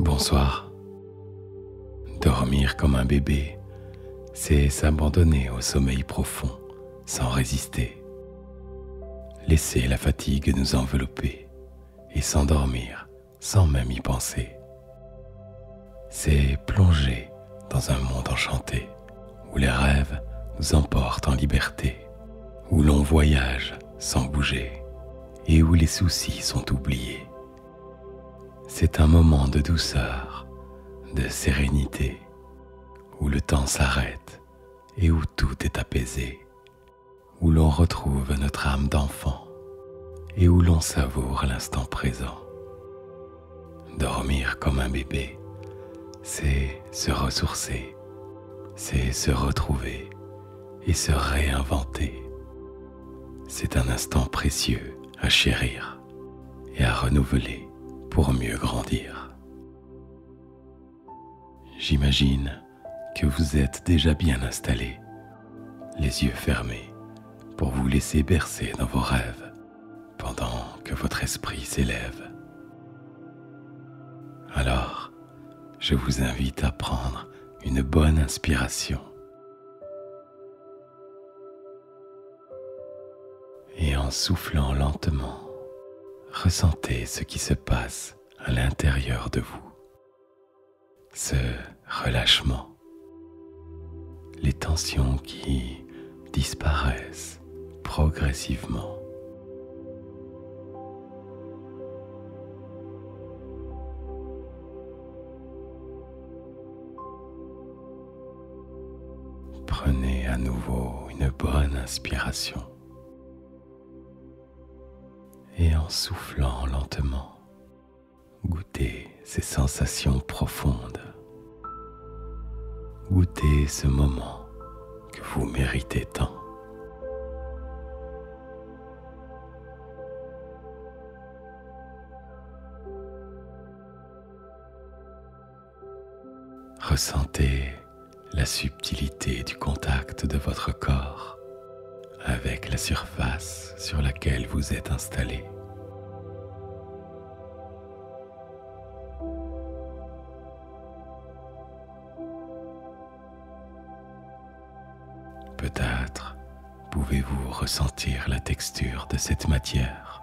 Bonsoir. Dormir comme un bébé, c'est s'abandonner au sommeil profond sans résister. Laisser la fatigue nous envelopper et s'endormir sans même y penser. C'est plonger dans un monde enchanté, où les rêves nous emportent en liberté, où l'on voyage sans bouger, et où les soucis sont oubliés. C'est un moment de douceur, de sérénité, où le temps s'arrête et où tout est apaisé, où l'on retrouve notre âme d'enfant et où l'on savoure l'instant présent. Dormir comme un bébé, c'est se ressourcer, c'est se retrouver et se réinventer. C'est un instant précieux à chérir et à renouveler pour mieux grandir. J'imagine que vous êtes déjà bien installé les yeux fermés, pour vous laisser bercer dans vos rêves pendant que votre esprit s'élève. Alors, je vous invite à prendre une bonne inspiration et en soufflant lentement, ressentez ce qui se passe à l'intérieur de vous, ce relâchement les tensions qui disparaissent progressivement. Prenez à nouveau une bonne inspiration et en soufflant lentement, Goûtez ces sensations profondes. Goûtez ce moment que vous méritez tant. Ressentez la subtilité du contact de votre corps avec la surface sur laquelle vous êtes installé. Peut-être pouvez-vous ressentir la texture de cette matière,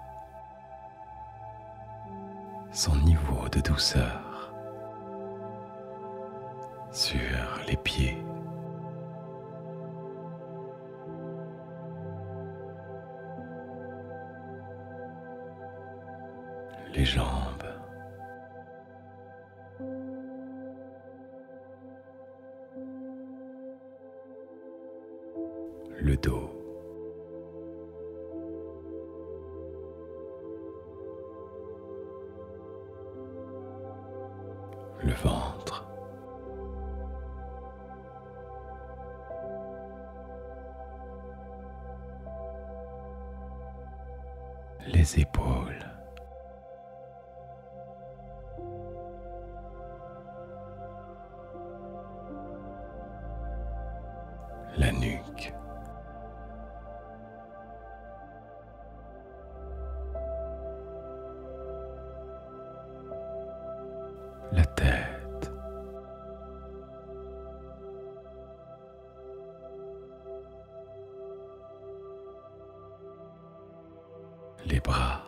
son niveau de douceur sur les pieds, les jambes. Le dos. Le ventre les épaules. La nuque la tête. Les bras.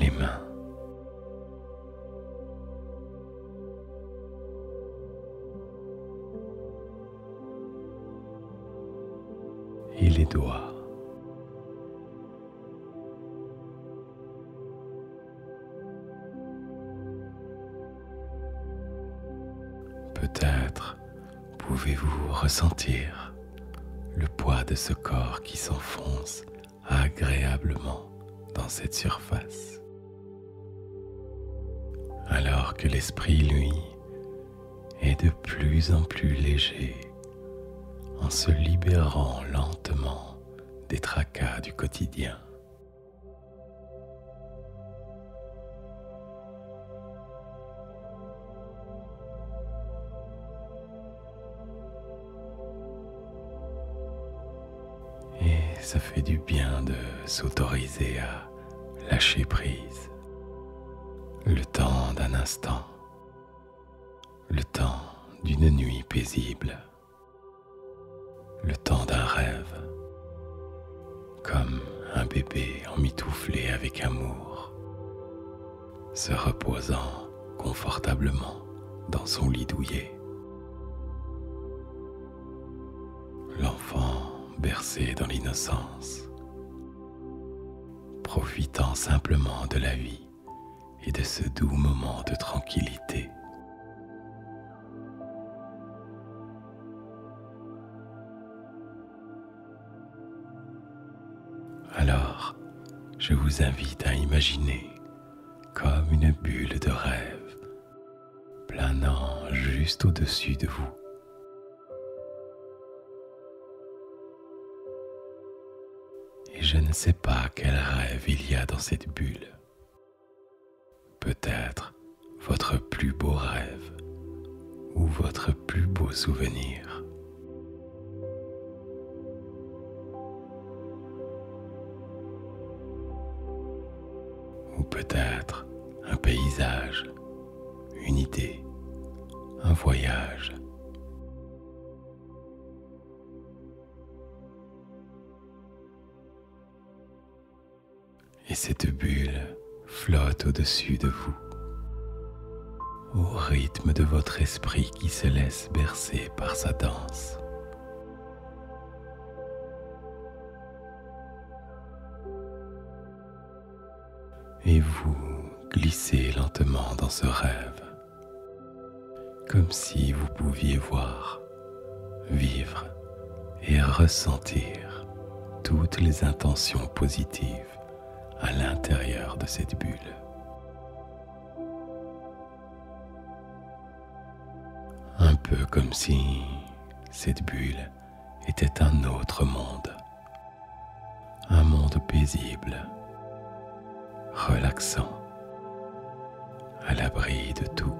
Les mains et les doigts. Peut-être pouvez-vous ressentir le poids de ce corps qui s'enfonce agréablement dans cette surface alors que l'esprit, lui, est de plus en plus léger en se libérant lentement des tracas du quotidien. Et ça fait du bien de s'autoriser à lâcher prise. Le temps d'un instant. Le temps d'une nuit paisible. Le temps d'un rêve. Comme un bébé emmitouflé avec amour. Se reposant confortablement dans son lit douillet. L'enfant bercé dans l'innocence, profitant simplement de la vie et de ce doux moment de tranquillité. Alors, je vous invite à imaginer comme une bulle de rêve planant juste au-dessus de vous. Et je ne sais pas quel rêve il y a dans cette bulle. Peut-être votre plus beau rêve ou votre plus beau souvenir ou peut-être un paysage, une idée, un voyage. Et cette bulle flotte au-dessus de vous, au rythme de votre esprit qui se laisse bercer par sa danse. Et vous glissez lentement dans ce rêve, comme si vous pouviez voir, vivre et ressentir toutes les intentions positives à l'intérieur de cette bulle. Un peu comme si cette bulle était un autre monde. Un monde paisible, relaxant, à l'abri de tout.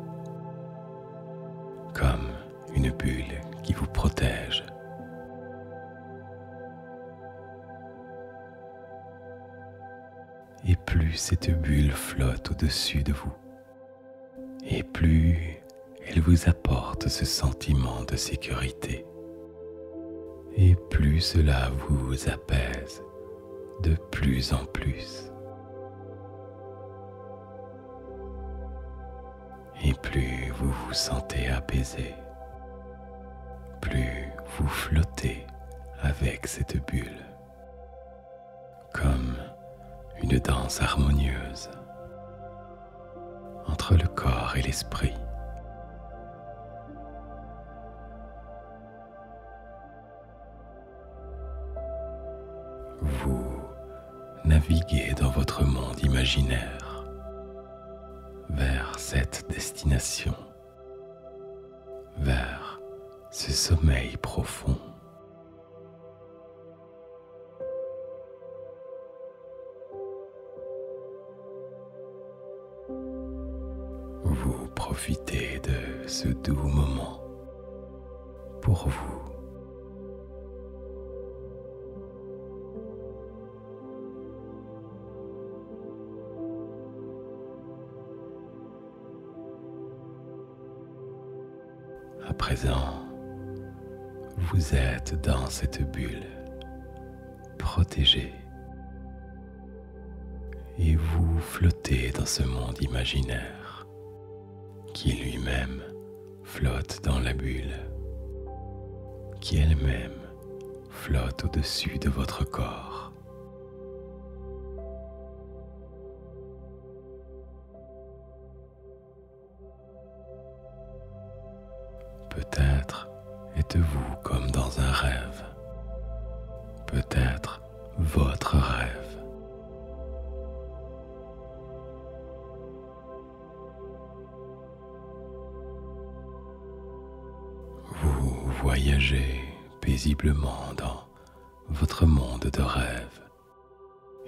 Comme une bulle qui vous protège. Et plus cette bulle flotte au-dessus de vous, et plus elle vous apporte ce sentiment de sécurité, et plus cela vous apaise de plus en plus. Et plus vous vous sentez apaisé, plus vous flottez avec cette bulle comme une danse harmonieuse entre le corps et l'esprit. Vous naviguez dans votre monde imaginaire vers cette destination, vers ce sommeil profond. Vous profitez de ce doux moment pour vous. À présent, vous êtes dans cette bulle, protégée, et vous flottez dans ce monde imaginaire qui lui-même flotte dans la bulle, qui elle-même flotte au-dessus de votre corps. Peut-être êtes-vous comme dans un rêve. Peut-être votre rêve. Vous voyagez paisiblement dans votre monde de rêve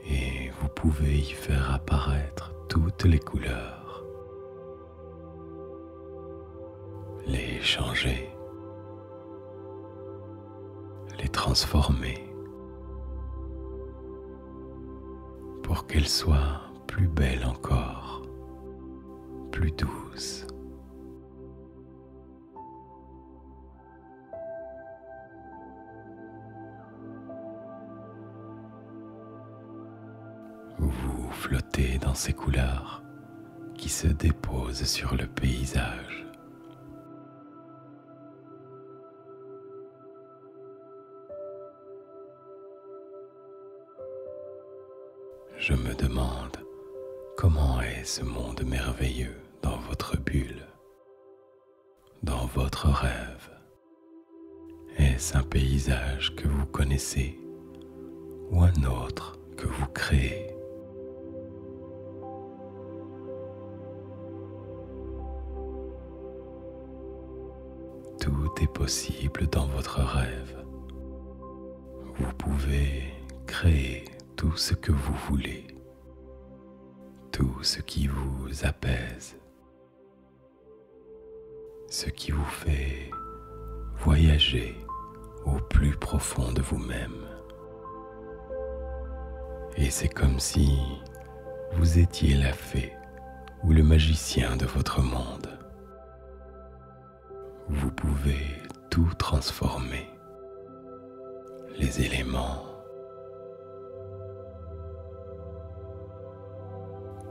et vous pouvez y faire apparaître toutes les couleurs, les changer, les transformer pour qu'elles soient plus belles encore, plus douces. Vous flottez dans ces couleurs qui se déposent sur le paysage. Je me demande comment est ce monde merveilleux dans votre bulle dans votre rêve Est-ce un paysage que vous connaissez ou un autre que vous créez Tout est possible dans votre rêve. Vous pouvez créer tout ce que vous voulez tout ce qui vous apaise, ce qui vous fait voyager au plus profond de vous-même. Et c'est comme si vous étiez la fée ou le magicien de votre monde. Vous pouvez tout transformer les éléments,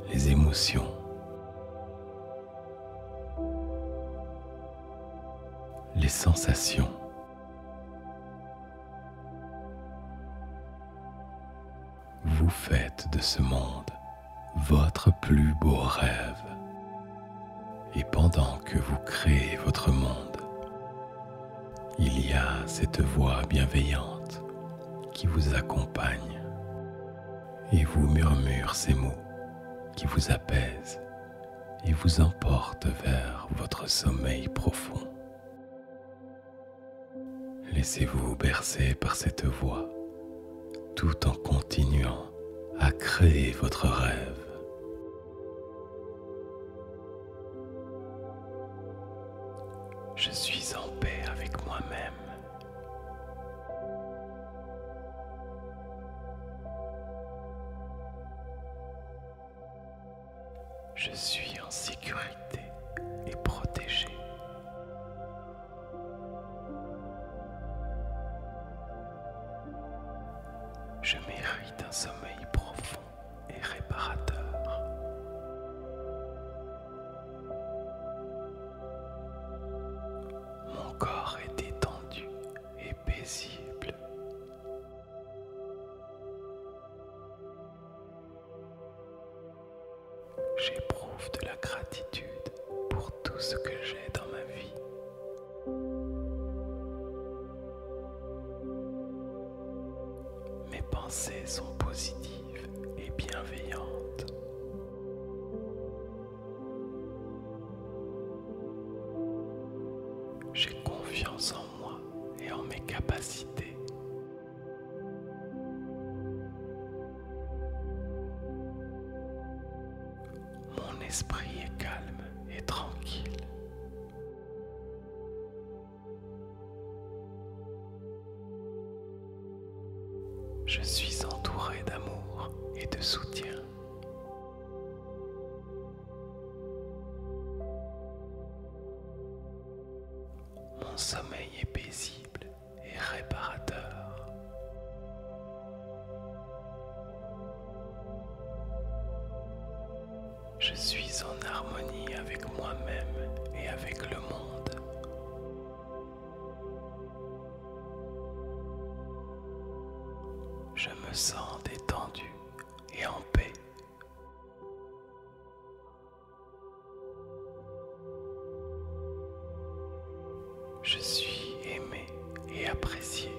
les émotions, les sensations. Vous faites de ce monde votre plus beau rêve. Et pendant que vous créez votre monde, il y a cette voix bienveillante qui vous accompagne et vous murmure ces mots qui vous apaisent et vous emportent vers votre sommeil profond. Laissez-vous bercer par cette voix tout en continuant à créer votre rêve. Je suis en paix avec moi-même. Je suis en sécurité et protégé. Je mérite un sommeil profond et réparateur. Mon corps est étendu et paisible. J'éprouve de la gratitude pour tout ce que j'ai dans ma vie. Mes pensées sont positives et bienveillantes. J'ai confiance en moi et en mes capacités. Mon esprit est calme et tranquille. Je suis entouré d'amour et de soutien. Mon sommeil est paisible et réparateur. Je suis en harmonie avec moi-même et avec le monde. Je me sens détendu et en paix. Je suis aimé et apprécié.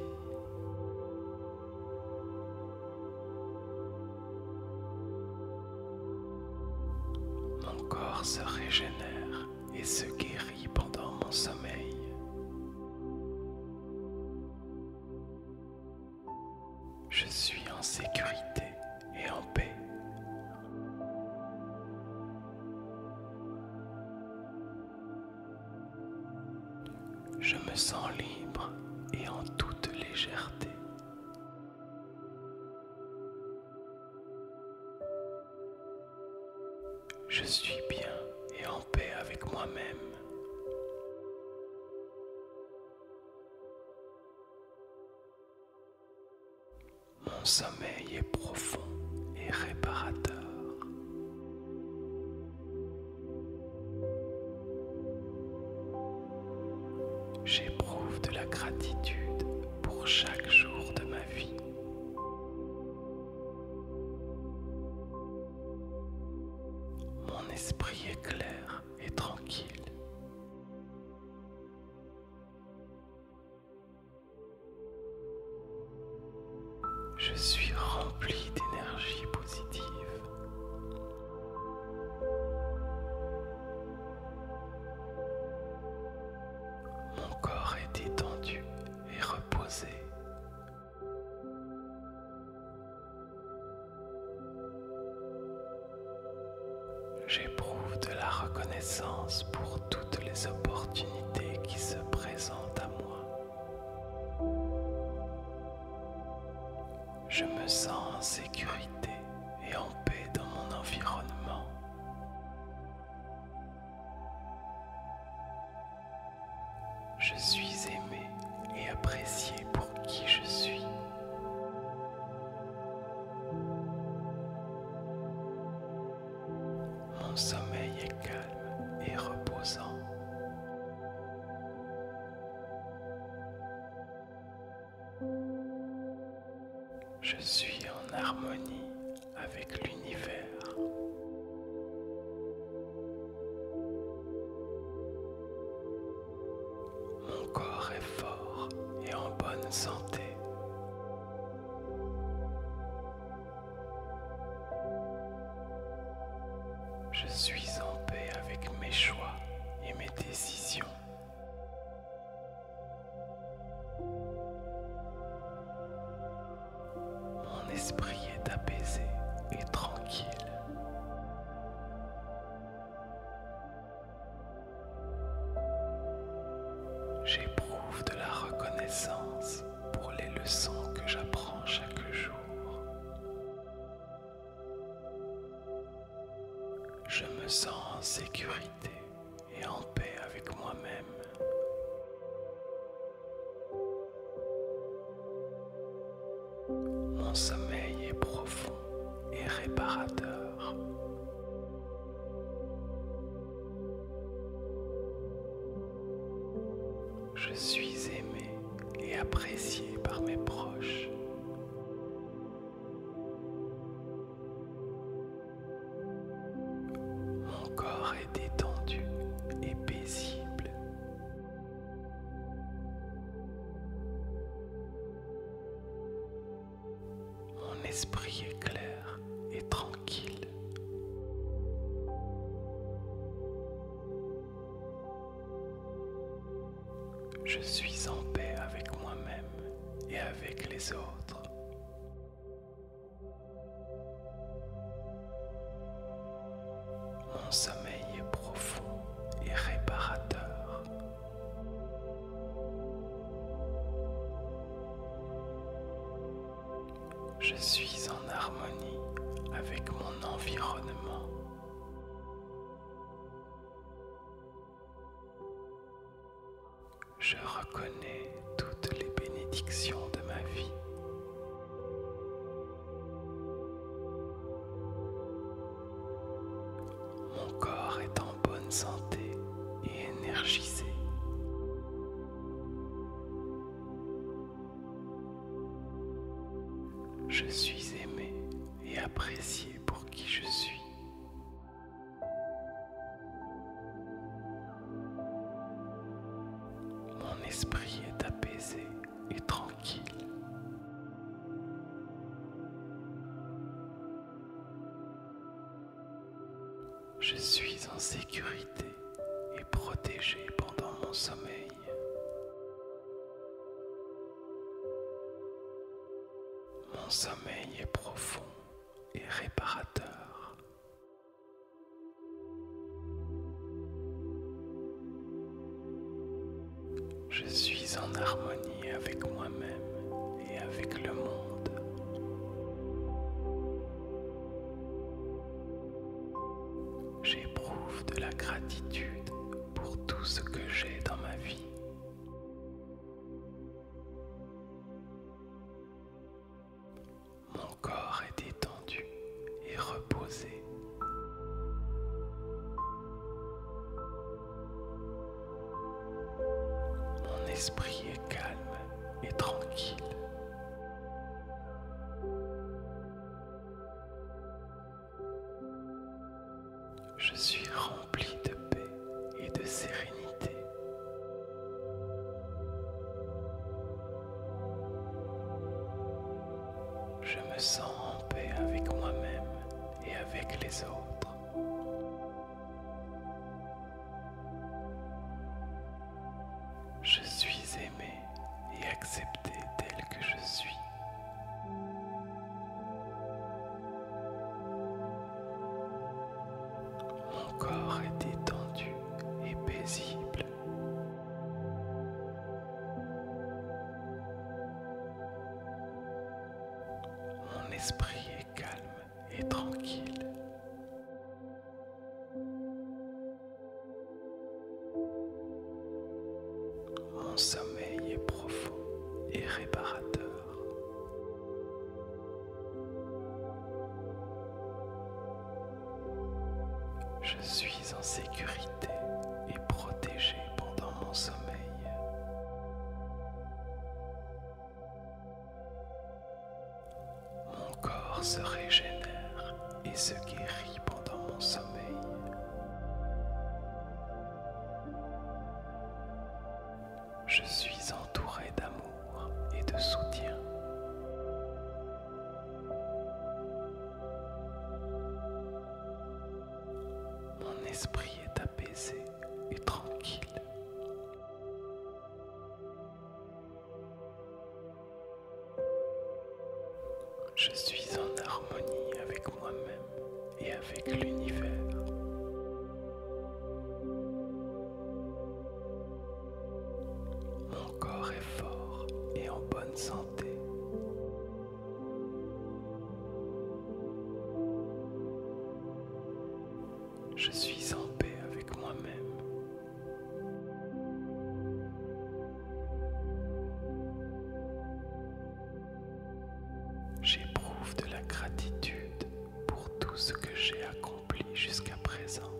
Mon corps se régénère et se guérit pendant mon sommeil. Je suis en sécurité et en paix. Je me sens libre et en toute légèreté. Je suis bien et en paix avec moi-même. Mon sommeil est profond et réparateur. J'éprouve de la gratitude pour chaque jour de ma vie. Mon esprit est clair et tranquille. Je suis rempli d'énergie positive. Mon corps est détendu et reposé. J'éprouve de la reconnaissance pour toutes les opportunités qui se présentent à moi. Je me sens en sécurité et en paix dans mon environnement. Je suis aimé et apprécié pour qui je suis. Mon sommeil est calme et reposant. Je suis en harmonie avec l'univers. Mon corps est fort et en bonne santé. Je suis en paix avec mes choix et mes décisions. Mon esprit est apaisé et tranquille. J'éprouve de la reconnaissance pour les leçons que j'apprends chaque jour. Je me sens en sécurité et en paix avec moi-même. Mon sommeil est profond et réparateur. Je suis aimé et apprécié par mes proches. Mon corps est détendu et paisible. Mon esprit est clair et tranquille. Je suis en paix avec moi-même et avec les autres. Mon sommeil est profond et réparateur. Je suis en harmonie avec mon environnement. Je reconnais toutes les bénédictions de ma vie. Mon corps est en bonne santé et énergisé. Je suis aimé et apprécié pour qui je suis. Mon esprit est apaisé et tranquille. Je suis en sécurité et protégé pendant mon sommeil. Mon sommeil est profond et réparateur. Je suis en harmonie avec moi-même et avec le monde. J'éprouve de la gratitude pour tout ce que j'ai dans ma vie. Mon corps est détendu et reposé. Mon esprit est calme et tranquille. Je suis rempli de paix et de sérénité. Je me sens en paix avec moi-même et avec les autres. Je suis aimé et accepté tel que je suis. Mon corps est détendu et paisible. Mon esprit est calme et tranquille. Mon sommeil est profond et réparateur. Je suis en sécurité et protégé pendant mon sommeil. Mon corps se régénère et se guérit pendant mon sommeil. Je suis entouré d'amour et de soutien. Mon esprit est apaisé et tranquille. Je suis en harmonie avec moi-même et avec l'univers. Mon corps est fort et en bonne santé. Je suis en paix avec moi-même. J'éprouve de la gratitude pour tout ce que j'ai accompli jusqu'à présent.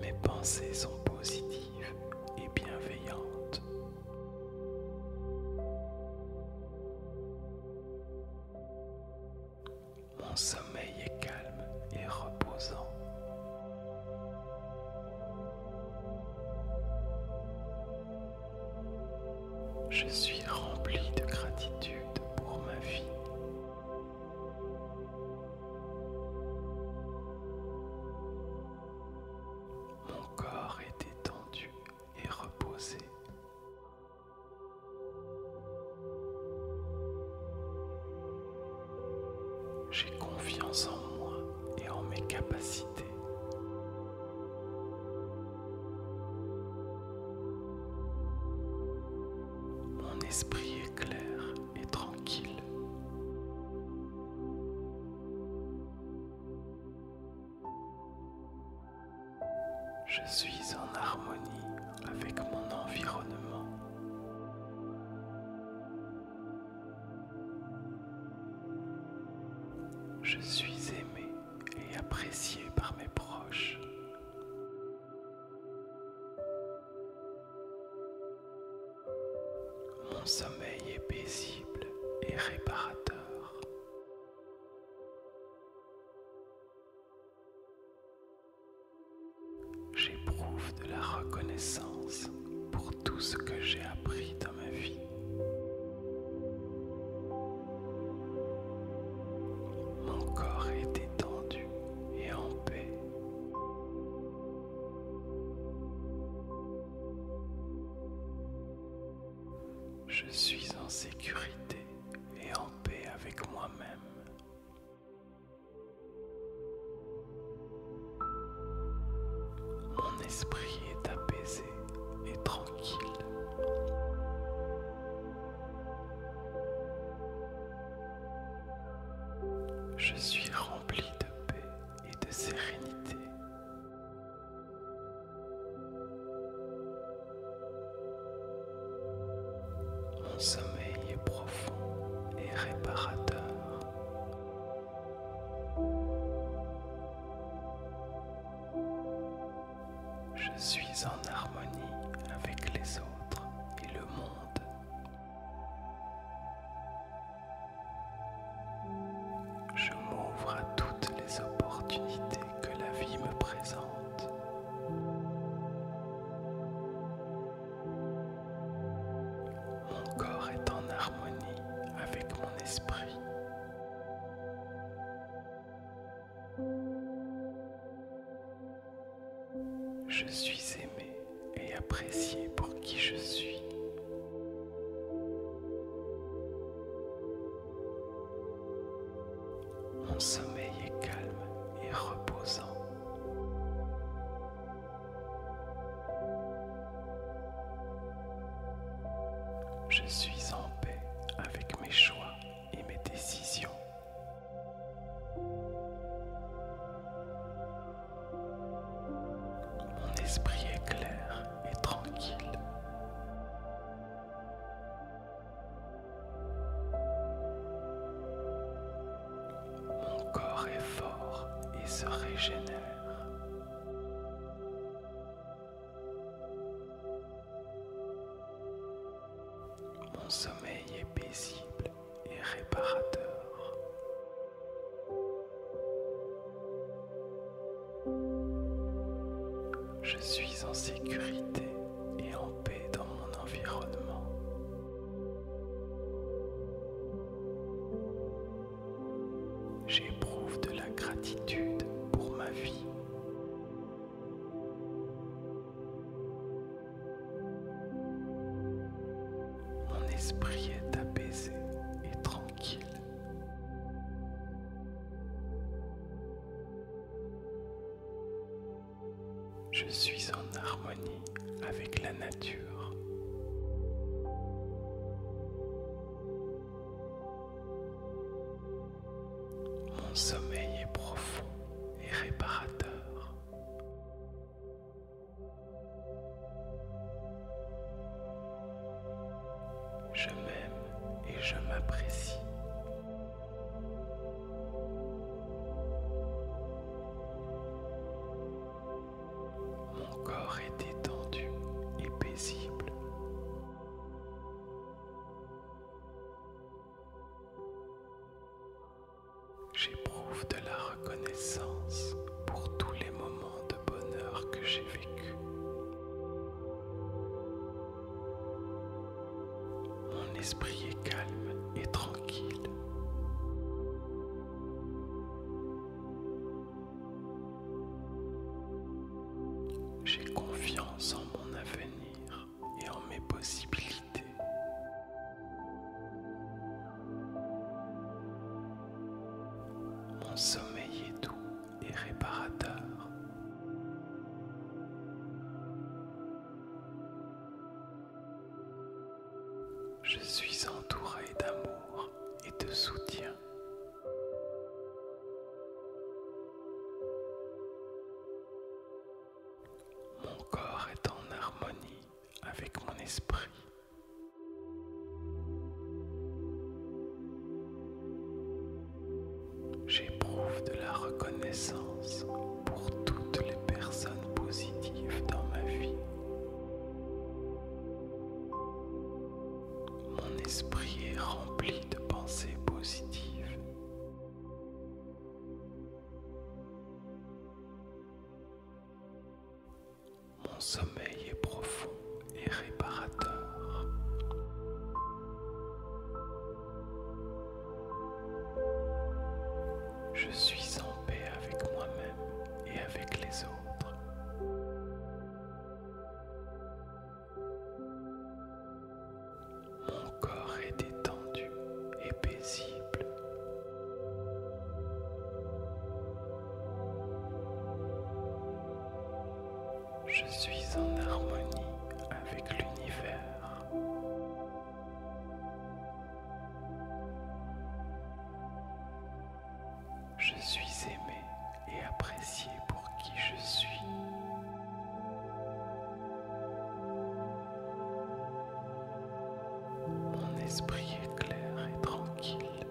Mes pensées sont positives et bienveillantes. Mon sommeil est calme et reposant. Je suis rempli de gratitude pour ma vie. Mon corps est détendu et reposé. J'ai confiance en moi et en mes capacités. Mon esprit est clair et tranquille. Je suis en harmonie avec mon environnement. Je suis aimé et apprécié par mes proches. Mon sommeil est paisible et réparateur. J'éprouve de la reconnaissance pour tout ce que j'ai appris dans ma vie. Mon corps est détendu et en paix. Je suis en sécurité et en paix avec moi-même. Mon esprit est apaisé et tranquille. Je suis rempli de paix et de sérénité. Mon sommeil est profond et réparateur. Je suis en harmonie avec les autres et le monde. Je m'ouvre à toutes les opportunités que la vie me présente. Mon corps est en harmonie avec mon esprit. Je suis aimé et apprécié pour qui je suis. Mon sommeil est calme et reposant. Je suis en paix avec mes choix et mes décisions. Mon esprit est clair et tranquille. Mon corps est fort et se régénère. Mon sommeil est paisible et réparateur. Je suis en sécurité et en paix dans mon environnement. J'éprouve de la gratitude pour ma vie. Mon esprit est apaisé et tranquille. Je suis en harmonie avec la nature. Mon sommeil est profond et réparateur. Je m'aime et je m'apprécie. Mon corps est détendu et paisible. J'éprouve de la reconnaissance pour tous les moments de bonheur que j'ai vécu. Mon esprit est calme et tranquille. J'ai confiance en mon avenir et en mes possibilités. Mon sommeil est doux et réparateur. Je suis entouré d'amour et de soutien. Mon corps est en harmonie avec mon esprit. J'éprouve de la reconnaissance pour toutes les personnes positives dans ma vie. Mon esprit est rempli de pensées positives. Mon sommeil est profond et réparateur. Je suis en paix avec moi-même et avec les autres. Mon corps est détendu et paisible. Je suis en harmonie avec l'univers. Je suis aimé et apprécié pour qui je suis. Mon esprit est clair et tranquille.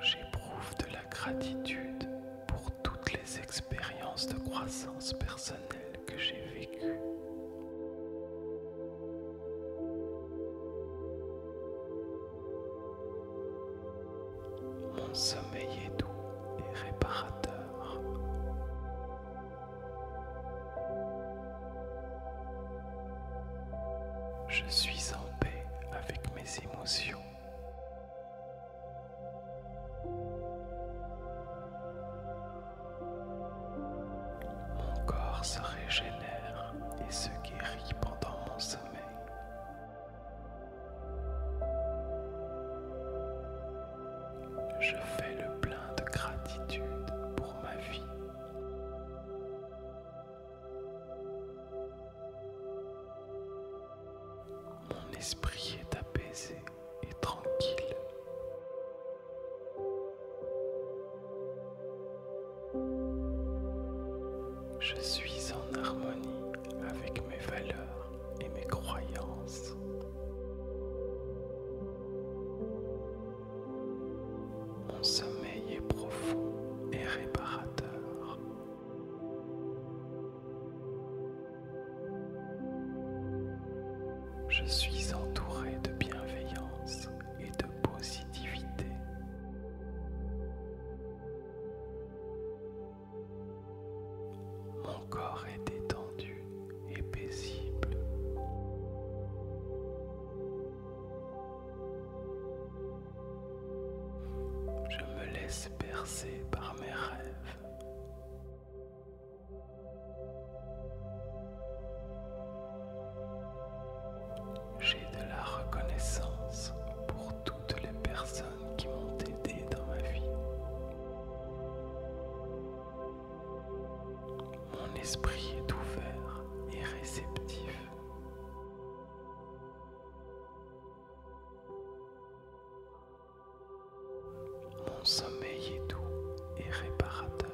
J'éprouve de la gratitude pour toutes les expériences de croissance personnelle que j'ai vécu. Mon sommeil est doux et réparateur. Je suis en paix avec mes émotions. Mon corps se régénère et se guérit pendant mon sommeil. Je fais le plein de gratitude pour ma vie. Mon esprit est apaisé et tranquille. Je suis en harmonie avec mes valeurs et mes croyances. Mon sommeil est profond et réparateur. Je suis entouré de bienveillance et de positivité. Mon corps est détendu et paisible. Je me laisse percer par mes rêves. J'ai de la reconnaissance pour toutes les personnes qui m'ont aidé dans ma vie. Mon esprit est ouvert et réceptif. Mon sommeil est doux et réparateur.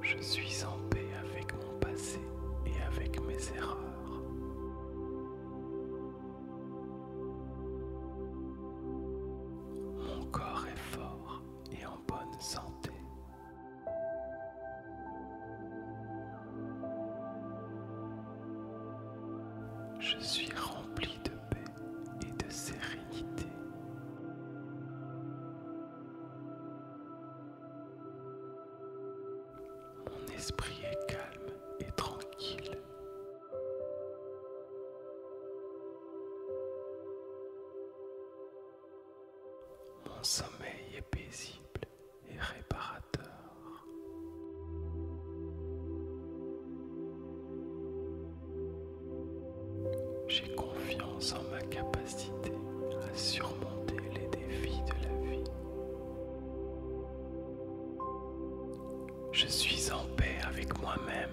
Je suis en paix avec mon passé et avec mes erreurs. Mon corps est fort et en bonne santé. Je suis rempli de paix et de sérénité. Mon esprit est calme et tranquille. Mon sommeil est paisible et réparateur. J'ai confiance en ma capacité à surmonter les défis de la vie. Je suis en paix avec moi-même.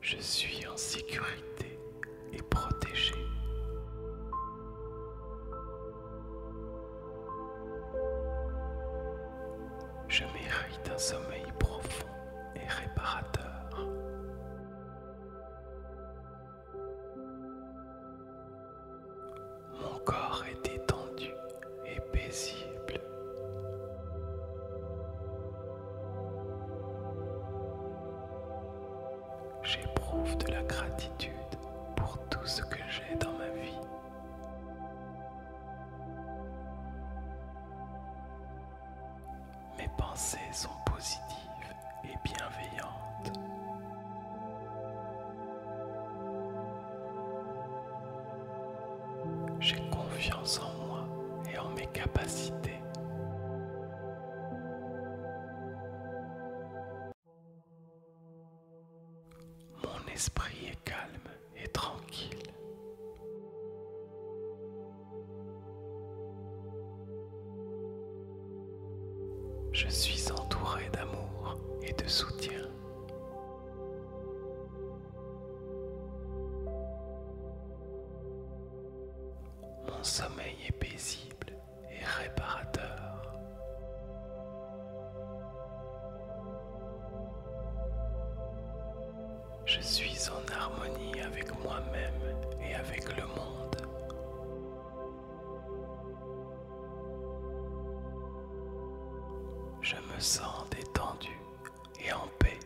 Je suis en sécurité et protégé. Je mérite un sommeil profond et réparateur. Mon corps est détendu et paisible. J'éprouve de la gratitude pour tout ce que j'ai dans ma vie. Mes pensées sont positives et bienveillantes. J'ai confiance en moi et en mes capacités. Mon esprit est calme et tranquille. Je suis entouré d'amour et de soutien. Mon sommeil est paisible et réparateur. Je suis en harmonie avec moi-même et avec le monde. Je me sens détendu et en paix.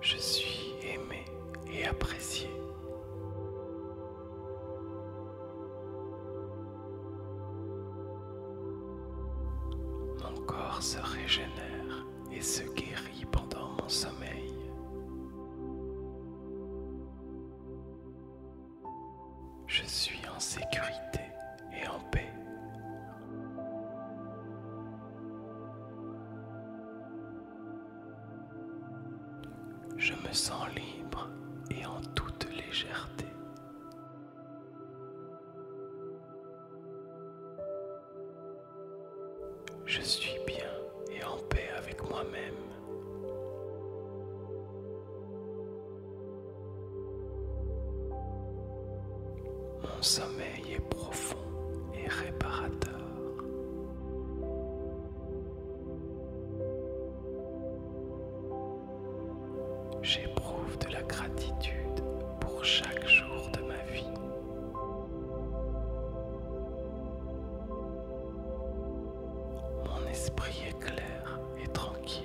Je suis aimé et apprécié. Mon corps se régénère et se guérit pendant mon sommeil. Je suis en sécurité et en paix. Je me sens libre et en toute légèreté. Je suis bien et en paix avec moi-même. Mon sommeil est profond et réparateur. J'éprouve de la gratitude pour chaque jour de ma vie. Mon esprit est clair et tranquille.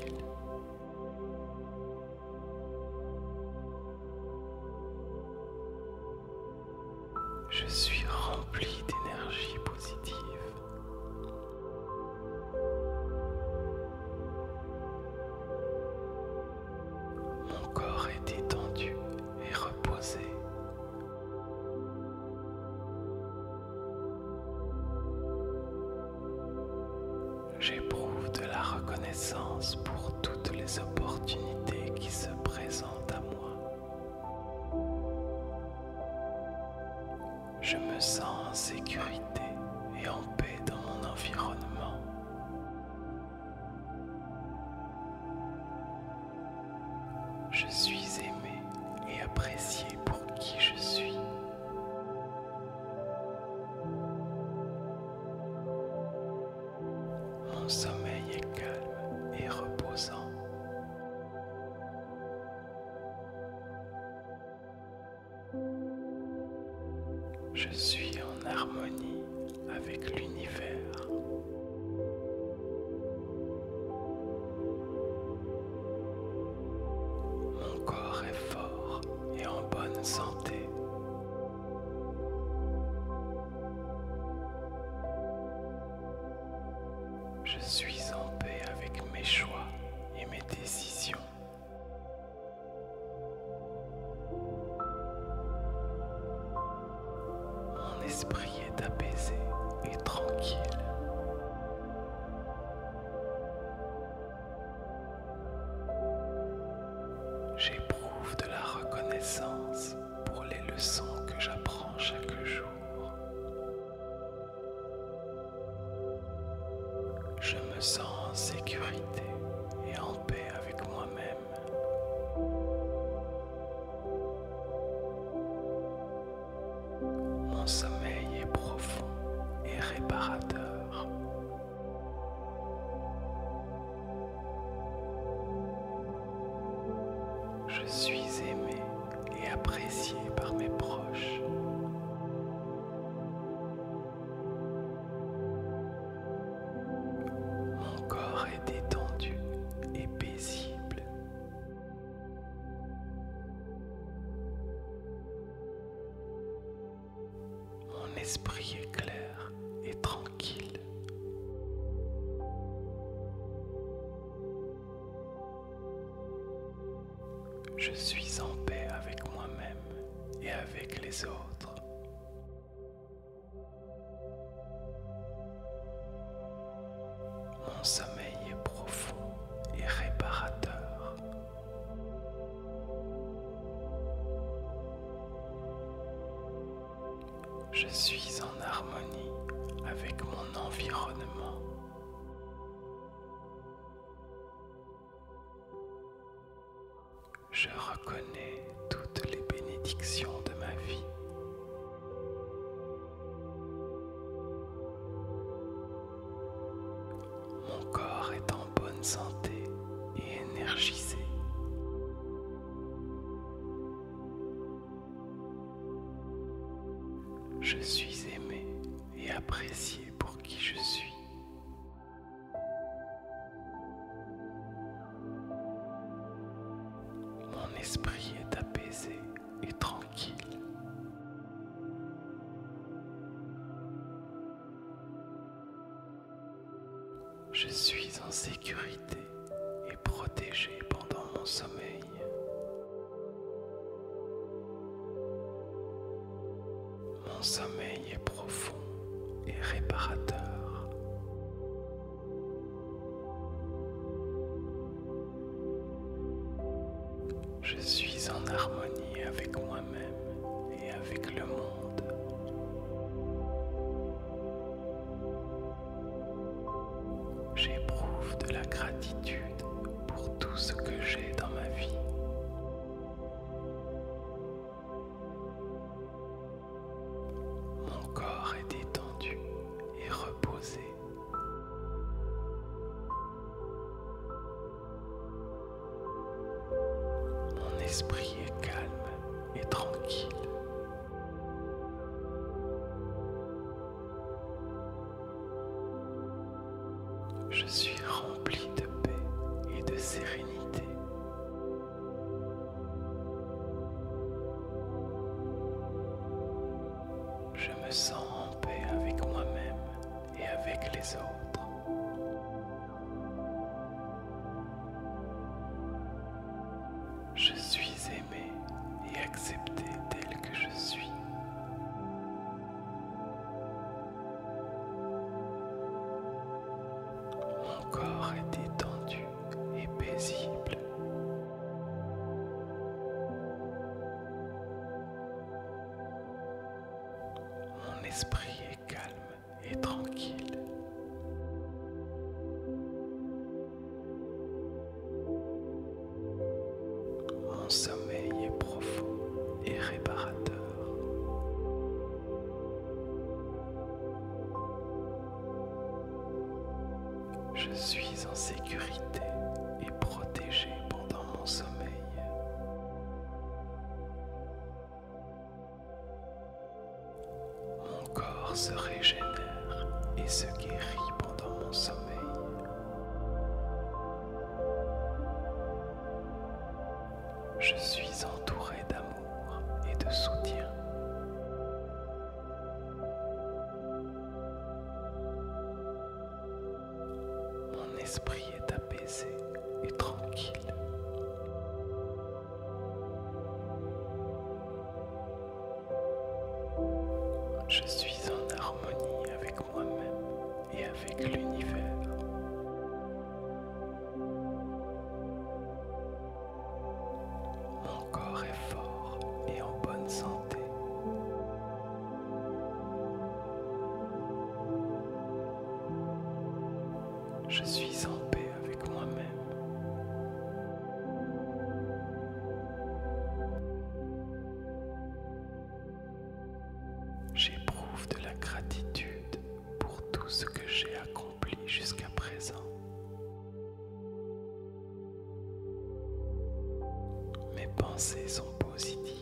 Je suis rempli d'énergie positive. Mon corps est étendu et reposé. J'éprouve de la reconnaissance pour toutes les opportunités qui se présentent à moi. Je me sens en sécurité et en paix dans mon environnement. Je suis aimé et apprécié pour qui je suis. Mon sommeil est calme et reposant. Je suis en harmonie avec l'univers. Mon corps est fort et en bonne santé. Je suis en paix avec mes choix et mes décisions. Mon esprit est apaisé et tranquille. J'éprouve de la reconnaissance pour les leçons que j'apprends chaque jour. Je me sens en sécurité et en paix avec moi-même. Mon sommeil est profond et réparateur. Je suis aimé et apprécié par mes proches. Mon corps est détendu et paisible. Mon esprit est clair et tranquille. Je suis en paix avec moi-même et avec les autres. Mon sommeil est profond et réparateur. Je suis en harmonie avec mon environnement. Je reconnais toutes les bénédictions de ma vie. Mon corps est en bonne santé et énergisé. Je suis aimé et apprécié pour qui je suis. Mon esprit est apaisé et tranquille. Je suis en sécurité et protégé pendant mon sommeil. Mon sommeil est profond et réparateur. Je suis en harmonie avec moi-même et avec le monde. J'éprouve de la gratitude pour tout ce que j'ai dans ma vie. Mon corps est détendu et reposé. Mon esprit est calme et tranquille. Je suis rempli de paix et de sérénité. Je me sens en paix avec moi-même et avec les autres. Je suis aimé et accepté tel que je suis. Mon corps est détendu et paisible. Mon esprit est calme et tranquille. Mon sommeil est profond et réparateur. Je suis en sécurité et protégé pendant mon sommeil. Mon corps se régénère et se guérit pendant mon sommeil. Je suis entouré d'amour et de soutien. Mon esprit est apaisé et tranquille. Je suis en harmonie avec moi-même et avec l'univers. Mon corps est fort et en bonne santé. Je suis en paix avec moi-même. J'éprouve de la gratitude pour tout ce que j'ai accompli jusqu'à présent. Mes pensées sont positives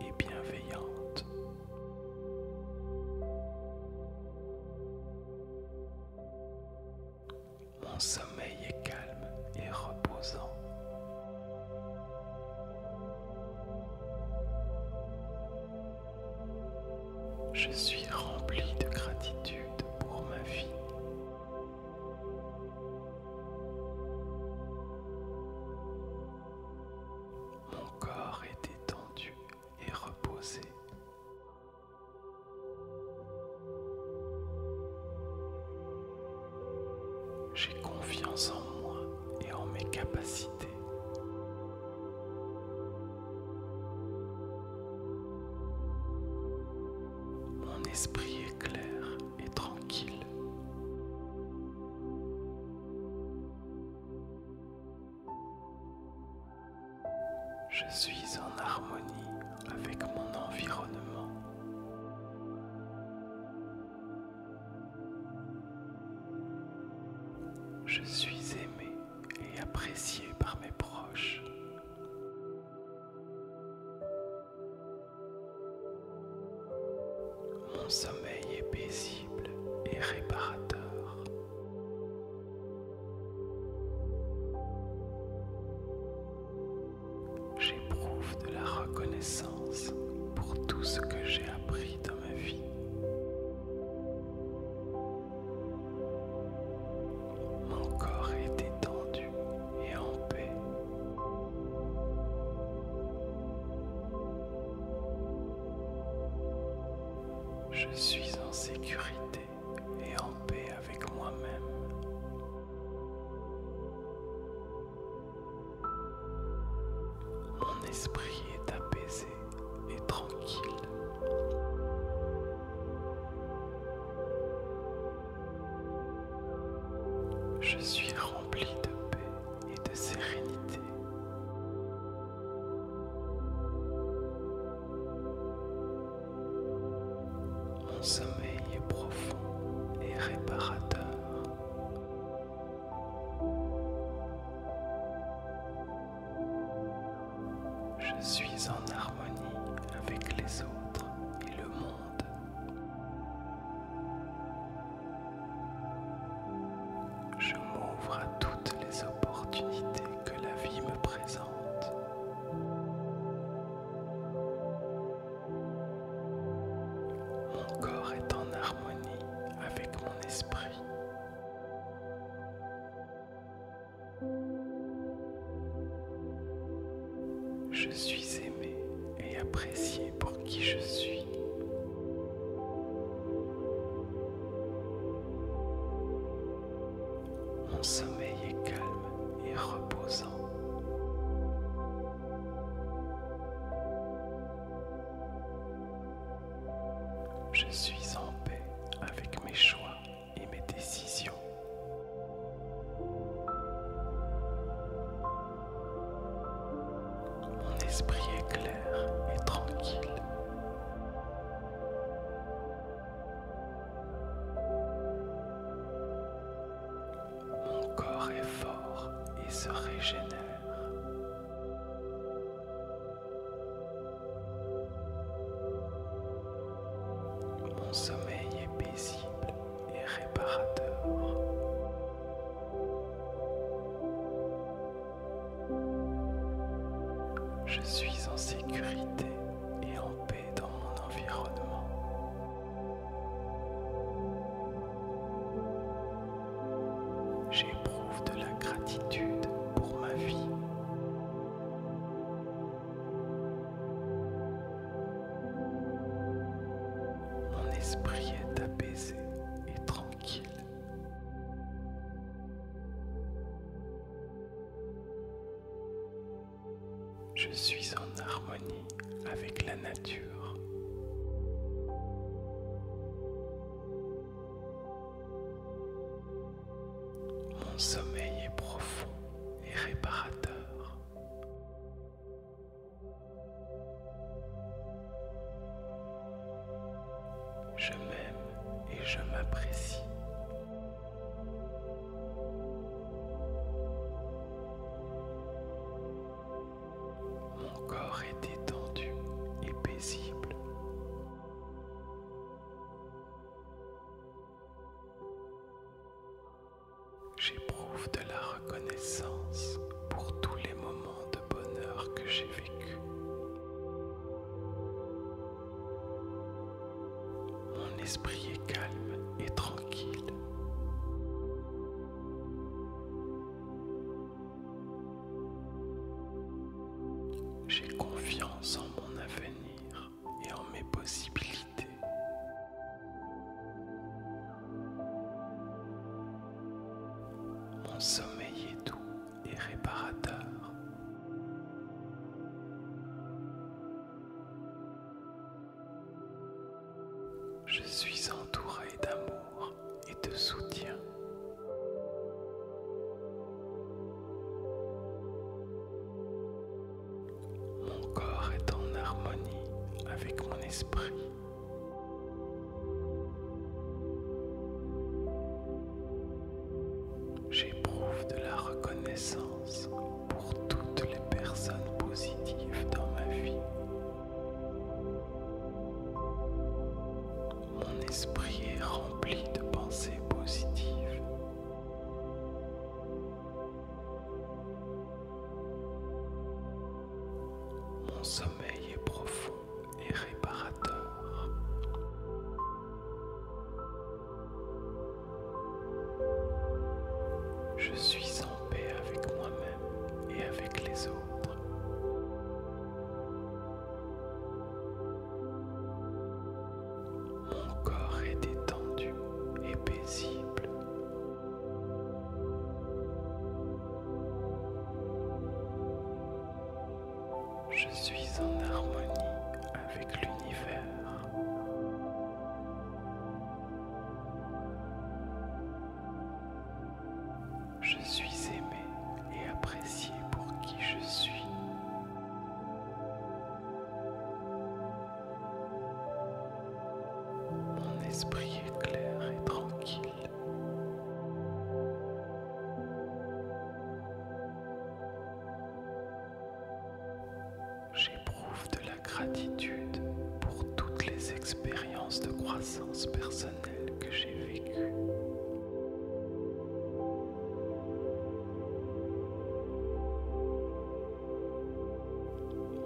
et bienveillante. Mon sommeil est calme et reposant. Je suis rempli de gratitude pour ma vie. Mon corps est étendu et reposé. J'ai confiance en moi et en mes capacités. Mon esprit est clair et tranquille. Je suis en harmonie avec mon environnement. Je suis aimé et apprécié par mes proches. Mon sommeil est paisible et réparateur. J'éprouve de la reconnaissance pour tout ce que j'ai appris dans ma vie. Mon corps est détendu et en paix. Je suis en sécurité et en paix avec moi-même. Mon esprit est apaisé et tranquille. Je suis rempli de paix et de sérénité. Mon sommeil est profond et réparateur. Je suis en harmonie avec les autres et le monde. Je m'ouvre à toutes les opportunités que la vie me présente. Mon corps est en harmonie avec mon esprit. Je suis aimé et apprécier pour qui je suis. Mon sommeil est calme et reposant. Je suis en paix avec mes choix et mes décisions. Mon esprit est clair et tranquille. Mon corps est fort et se régénère. Mon sommeil est paisible et réparateur. Je suis en sécurité et en paix dans mon environnement. J'éprouve de la gratitude pour ma vie. Mon esprit est apaisé et tranquille. Je suis en harmonie avec la nature. Mon sommeil est profond et réparateur. Je m'aime et je m'apprécie. Mon corps est détendu et paisible. J'éprouve de la reconnaissance pour tous les moments de bonheur que j'ai vécu. Mon esprit est calme et tranquille. J'ai confiance en mon avenir et en mes possibilités. Mon sommeil est doux et réparateur. Je suis entouré d'amour et de soutien. Mon corps est en harmonie avec mon esprit. J'éprouve de la reconnaissance pour toutes les personnes positives dans ma vie. Mon esprit est rempli de pensées positives. Mon sommeil est profond et réparateur. Je suis en paix avec moi-même et avec les autres. Mon corps est détendu et paisible. Je suis en harmonie avec l'univers. Je suis aimé et apprécié pour qui je suis. Mon esprit est clair et tranquille. J'éprouve de la gratitude pour toutes les expériences de croissance personnelle que j'ai vécues.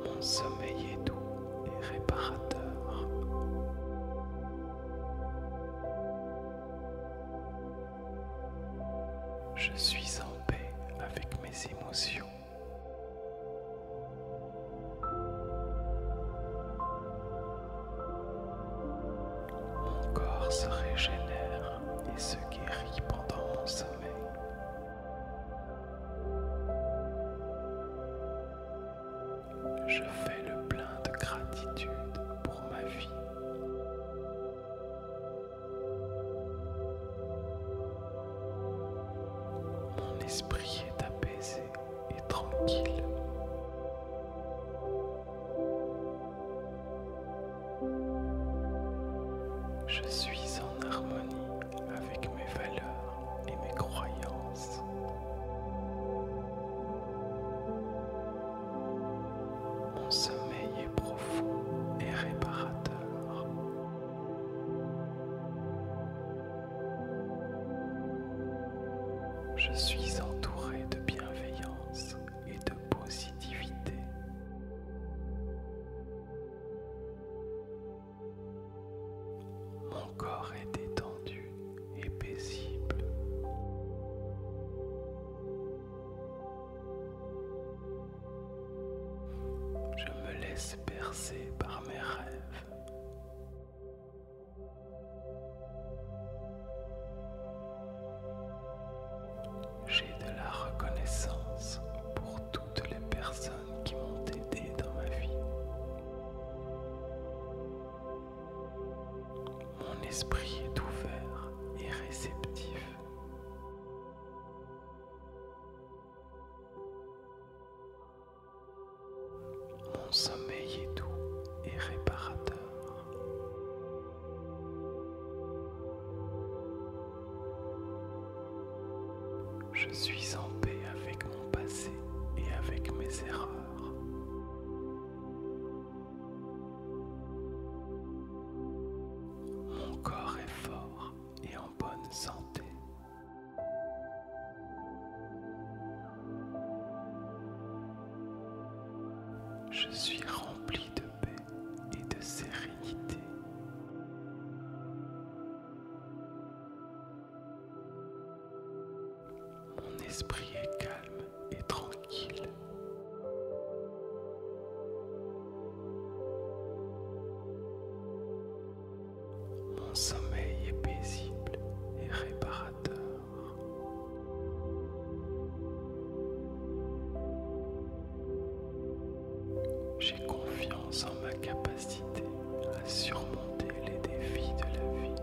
Mon sommeil est doux et réparateur. Je suis en paix avec mes émotions. Mon corps se régénère et se guérit pendant mon sommeil je fais le plein de gratitude pour ma vie. Mon esprit est apaisé et tranquille. Je suis en harmonie avec mes valeurs et mes croyances. Mon sommeil est profond et réparateur. Je suis entouré de bienveillance et de positivité. Mon corps est détendu je me laisse percer par mes rêves. J'ai de la reconnaissance pour toutes les personnes qui m'ont aidé dans ma vie. Mon esprit est ouvert et réceptif. Mon sommeil est doux et réparateur. Je suis en paix avec mon passé et avec mes erreurs. Mon corps est fort et en bonne santé. Je suis rempli de paix et de sérénité. Mon esprit est calme et tranquille. Mon sommeil est paisible et réparateur. J'ai confiance en ma capacité à surmonter les défis de la vie.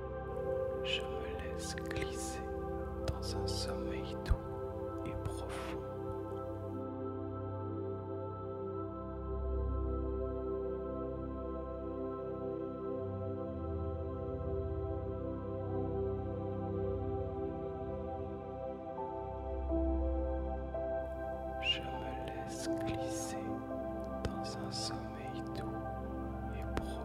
Je me laisse glisser dans un sommeil doux et profond. Je me laisse glisser dans un sommeil doux et profond.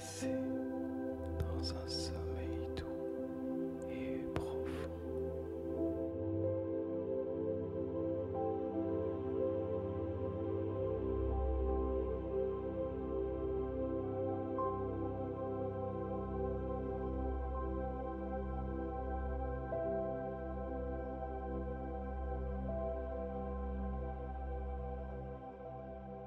C'est dans un sommeil doux et profond.